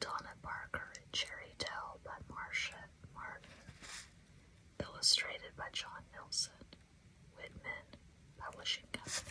Donna Parker and Cherry Dell by Marcia Martin. Illustrated by John Nelson, Whitman Publishing Company.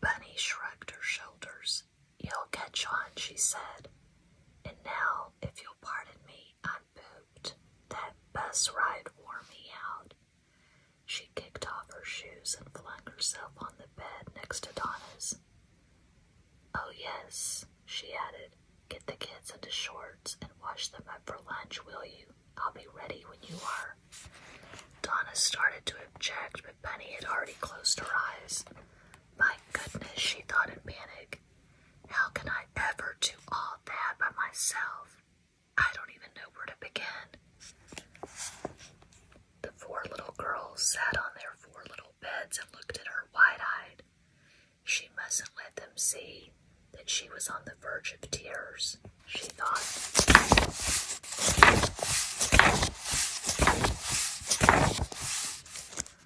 Bunny shrugged her shoulders. You'll catch on, she said. And now, if you'll pardon me, I pooped. That bus ride wore me out. She kicked off her shoes and flung herself on the bed next to Donna's. Oh, yes, she added. Get the kids into shorts and wash them up for lunch, will you? I'll be ready when you are. Donna started to object, but Penny had already closed her eyes. My goodness, she thought in panic. How can I ever do all that by myself? I don't even know where to begin. The four little girls sat on their four little beds and looked at her wide eyed. She mustn't let them see that she was on the verge of tears, she thought.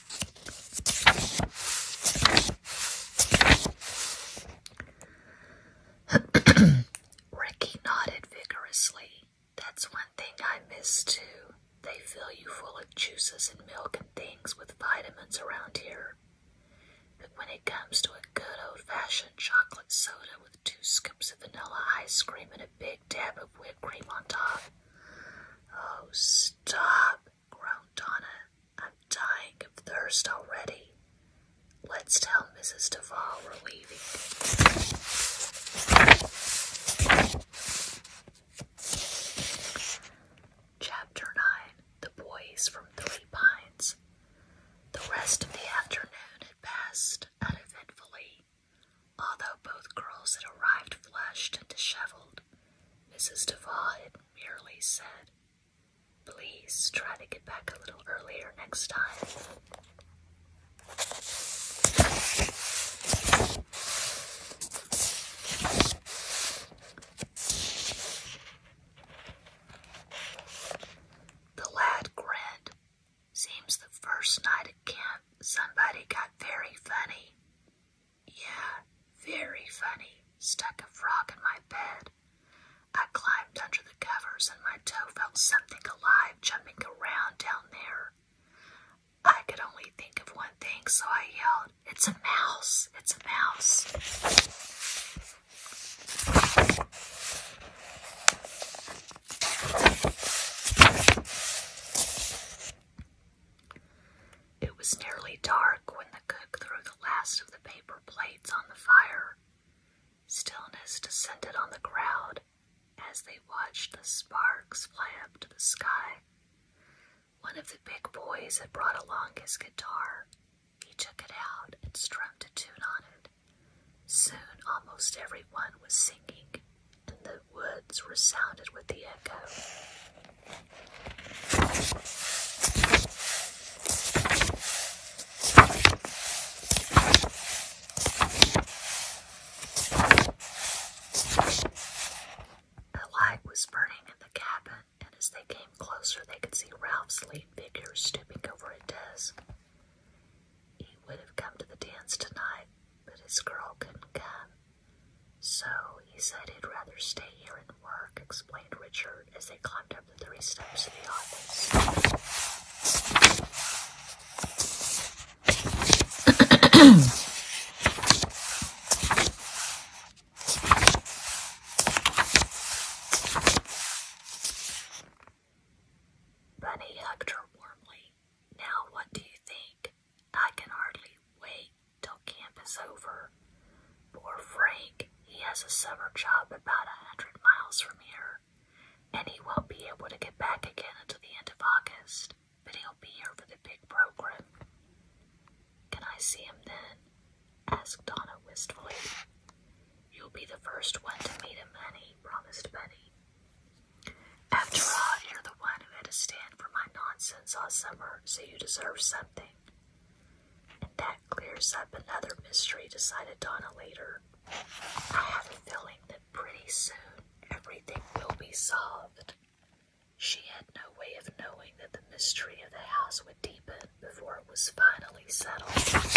Ricky nodded vigorously. That's one thing I miss too. They fill you full of juices and milk and things with vitamins around here. But when it comes to a good old fashioned chocolate soda with two scoops of vanilla ice cream and a big big dab of whipped cream on top. Oh, stop, groaned Donna. I'm dying of thirst already. Let's tell Mrs. Duval we're leaving. Chapter 9 The Boys from Three Pines. The rest of the afternoon had passed uneventfully Although both girls had arrived flushed and disheveled, Mrs. Duval had merely said, Please try to get back a little earlier next time. The lad grinned. Seems the first night at camp somebody got very funny. Yeah, very funny. Stuck a frog in my bed. I climbed under the covers and my toe felt something alive jumping around down there. I could only think of one thing, so I yelled, It's a mouse! It's a mouse! It was nearly dark when the cook threw the last of the paper plates on the fire. Stillness descended on the crowd as they watched the sparks fly up to the sky. One of the big boys had brought along his guitar. He took it out and strummed a tune on it. Soon almost everyone was singing and the words resounded with the echo. A light was burning in the cabin, and as they came closer, they could see Ralph's lean figure stooping over a desk. He would have come to the dance tonight, but his girl couldn't come. So he said he'd rather stay here and work, explained Richard as they climbed up the three steps to the office. Bunny hugged her warmly. Now, what do you think? I can hardly wait till camp is over. Poor Frank, he has a summer job about a hundred miles from here, and he won't be able to get back again until the end of August, but he'll be here for the big program. Can I see him then? asked Donna wistfully. You'll be the first one to meet him, honey, promised Bunny. After all, you're the one who had to stand for my nonsense all summer, so you deserve something. And that clears up another mystery, decided Donna later. I have a feeling that pretty soon everything will be solved. She had no way of knowing that the mystery of the house would deepen before it was finally settled.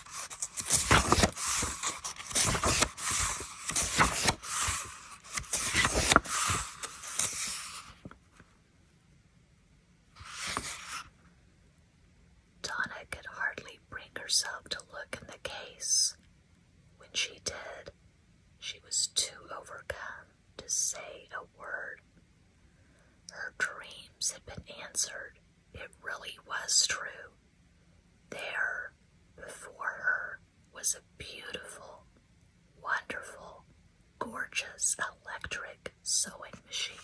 Donna could hardly bring herself to look in the case. When she did, she was too overcome to say a word. Her dreams had been answered, it really was true. There, before her, was a beautiful, wonderful, gorgeous electric sewing machine.